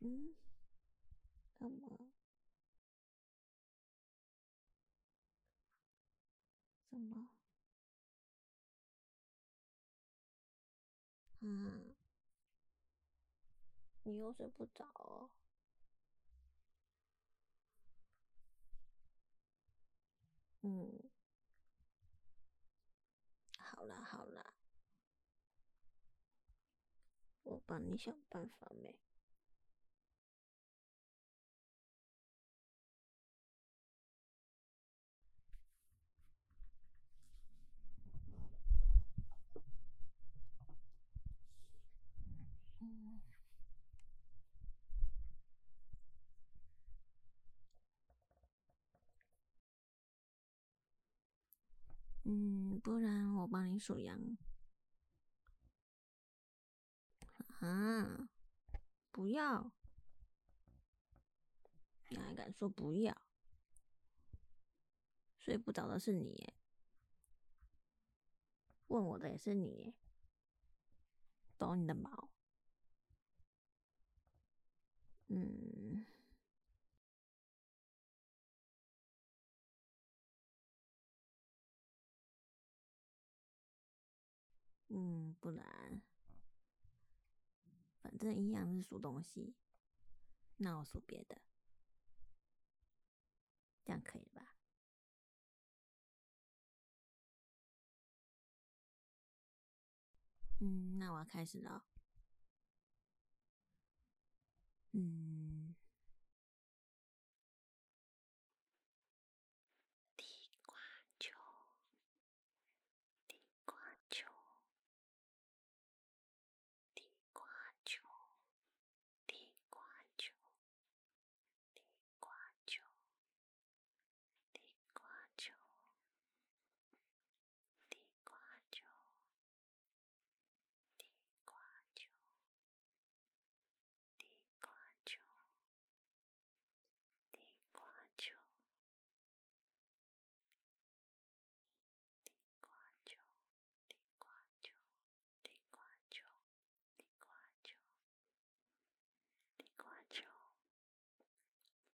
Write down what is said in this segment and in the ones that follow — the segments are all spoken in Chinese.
嗯？干嘛？怎么？嗯，你又睡不着？嗯。好了好了，我帮你想办法没？嗯，不然我帮你数羊。啊，不要！你还敢说不要？睡不着的是你，问我的也是你，懂你的毛。嗯。嗯，不难。反正一样是数东西，那我数别的，这样可以吧？嗯，那我要开始了。嗯，地瓜球，地瓜球，地瓜球，地瓜球，地瓜球，地瓜球。地瓜球，地瓜球，地瓜球，地瓜球，地瓜球，地瓜球，地瓜球，地瓜球，地瓜球。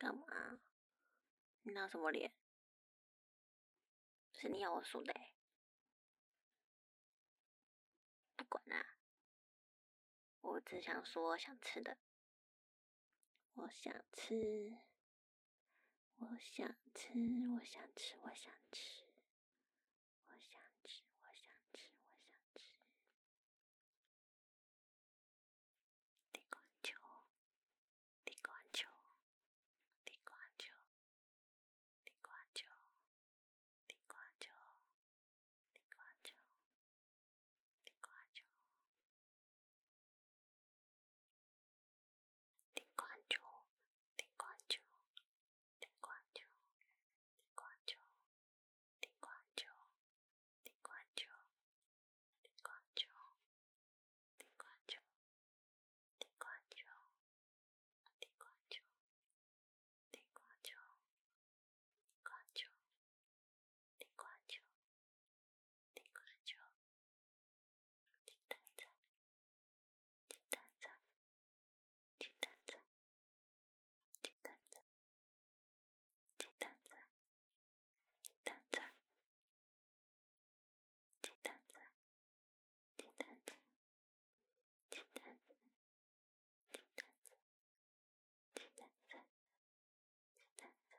干嘛？你拿什么脸？是你要我输的？不管啦，我只想说想吃的，我想吃。我想吃，我想吃，我想吃，我想吃，我想吃，我想吃，地瓜球，地瓜球，地瓜球，地瓜球，地瓜球，地瓜球，地瓜球。滴灌椒，滴灌椒，滴灌椒，滴灌椒，滴灌椒，滴灌椒，滴灌椒，滴灌椒，滴灌椒，滴灌椒，滴灌椒，滴灌椒。你给我唱，鸡蛋仔，鸡蛋仔，鸡蛋仔，鸡蛋仔，鸡蛋仔，鸡蛋仔，鸡蛋仔，鸡蛋仔，鸡蛋仔，鸡蛋仔，鸡蛋仔，鸡蛋仔，鸡蛋仔。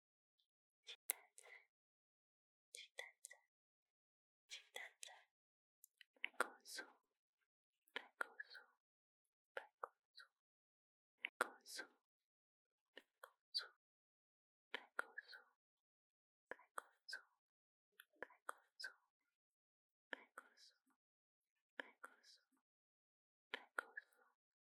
鸡蛋仔，鸡蛋仔，鸡蛋仔，白果树，白果树，白果树，白果树，白果树，白果树，白果树，白果树，白果树，白果树。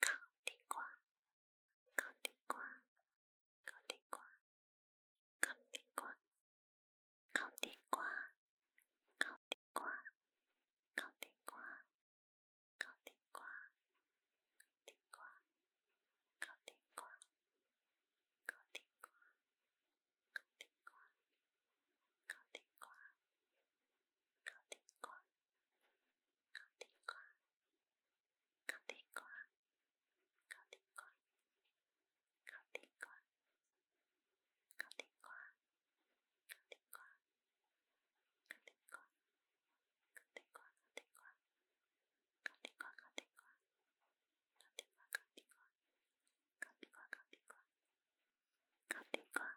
烤地瓜，烤地瓜，烤地瓜，烤地瓜，烤地瓜，烤地瓜，烤地瓜，烤地瓜，烤地瓜，地瓜，烤地瓜，烤地瓜，烤地瓜。烤地瓜，烤地瓜，烤地瓜，烤地瓜，烤地瓜，烤地瓜，烤地瓜，烤地瓜，烤地瓜，烤地瓜，烤地瓜，烤地瓜，烤地瓜，烤地瓜，烤地瓜。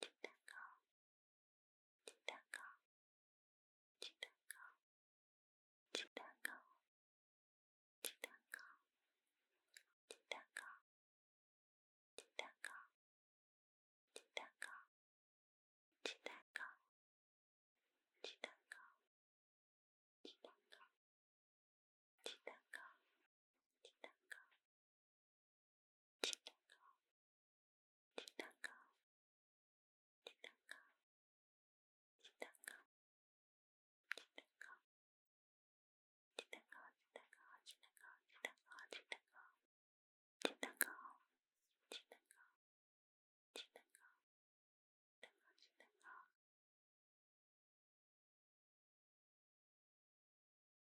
鸡蛋糕，鸡蛋糕，鸡蛋糕，鸡蛋糕，鸡蛋糕，鸡蛋糕，鸡蛋糕，鸡蛋糕，鸡蛋糕，鸡蛋糕，鸡蛋糕，鸡蛋糕。鸡蛋糕，鸡蛋糕，鸡蛋糕，鸡蛋糕，鸡蛋糕，鸡蛋糕，鸡蛋糕，鸡蛋糕，鸡蛋糕，鸡蛋糕，鸡蛋糕，鸡蛋糕，鸡蛋糕，鸡蛋糕，鸡蛋糕。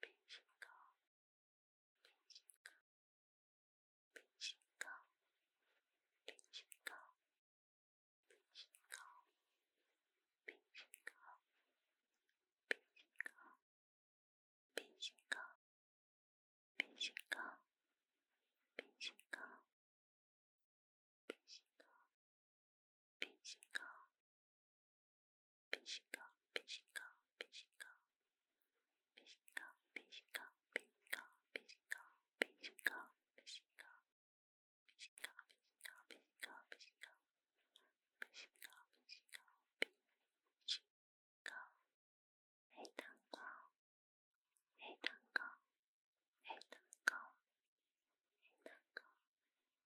冰心糕，冰心糕，冰心糕，冰心糕，冰心糕，冰心糕，冰心糕，冰心糕，冰心糕，冰心糕。冰激凌，冰激凌，冰激凌，冰激凌，冰激凌，冰激凌，冰激凌，冰激凌，冰激凌，冰激凌，冰激凌，冰激凌，冰激凌，冰激凌，冰激凌，冰激凌，冰激凌，黑糖糕，黑糖糕，黑糖糕，黑糖糕。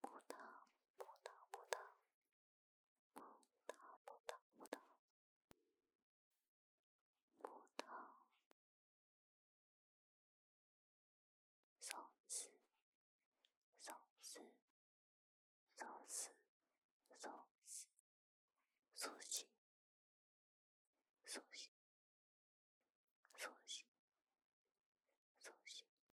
葡萄，葡萄，葡萄，葡萄，葡萄，葡萄，葡萄，松鼠，松鼠，松鼠，松鼠，松鼠，松鼠，松鼠，松鼠。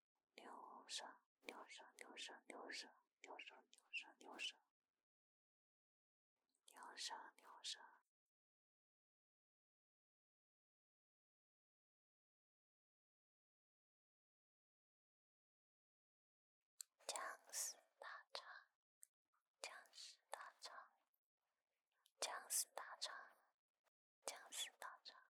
牛舌，牛舌，牛舌，牛舌，牛舌，牛舌，牛舌，牛舌，僵尸大肠，僵尸大肠，僵尸大肠，僵尸大肠。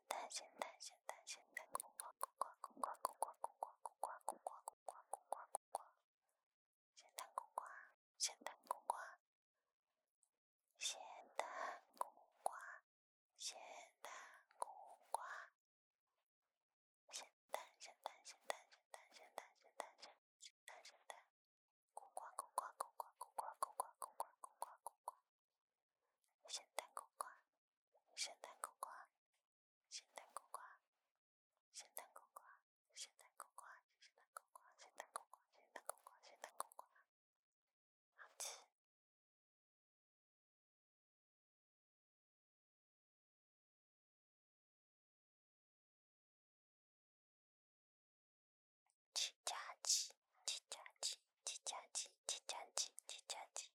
咸蛋咸蛋咸蛋咸蛋，咕呱咕呱咕呱咕呱咕呱咕呱咕呱咕呱咕呱咕呱咕呱，咸蛋咕呱，咸蛋咕呱，咸蛋咕呱，咸蛋咕呱，咸蛋咸蛋咸蛋咸蛋咸蛋咸蛋咸咸蛋咸蛋，咕呱咕呱咕呱咕呱咕呱咸蛋苦瓜，咸蛋苦瓜，咸蛋苦瓜，咸蛋苦瓜，咸蛋苦瓜，咸蛋苦瓜，咸蛋苦瓜，好吃。七加七，七加七，七加七，七加七，七加七。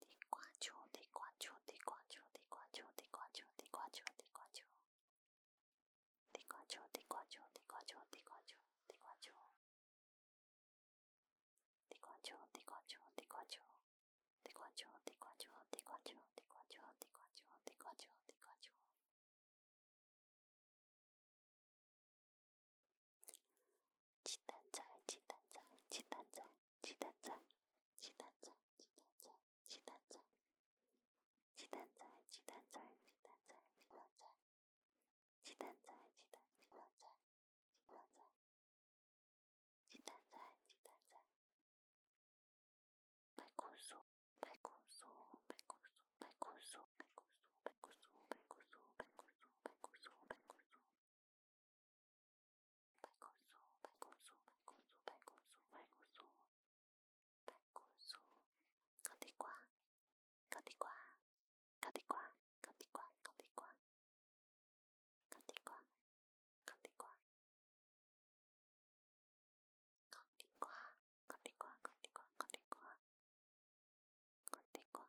嘀咕啾，嘀咕啾，嘀咕啾，鸡蛋仔，鸡蛋仔，鸡蛋仔。鸡蛋仔，鸡蛋仔，鸡蛋仔，鸡蛋仔，鸡蛋仔，鸡蛋仔，鸡蛋仔，鸡蛋仔，鸡蛋仔，鸡蛋，仔，鸡蛋仔，鸡蛋仔，鸡蛋仔，鸡蛋仔，白果树，白果树，白果树，白果树，白果树，白果树，白果树，白果树，白果树，白果树。白果树，白果树，白果树，白果树，白果树，白果树，烤地瓜，烤地瓜，烤地瓜，烤地瓜，烤地瓜，烤地瓜，烤地瓜，烤地瓜，烤地瓜，烤地瓜，烤地瓜。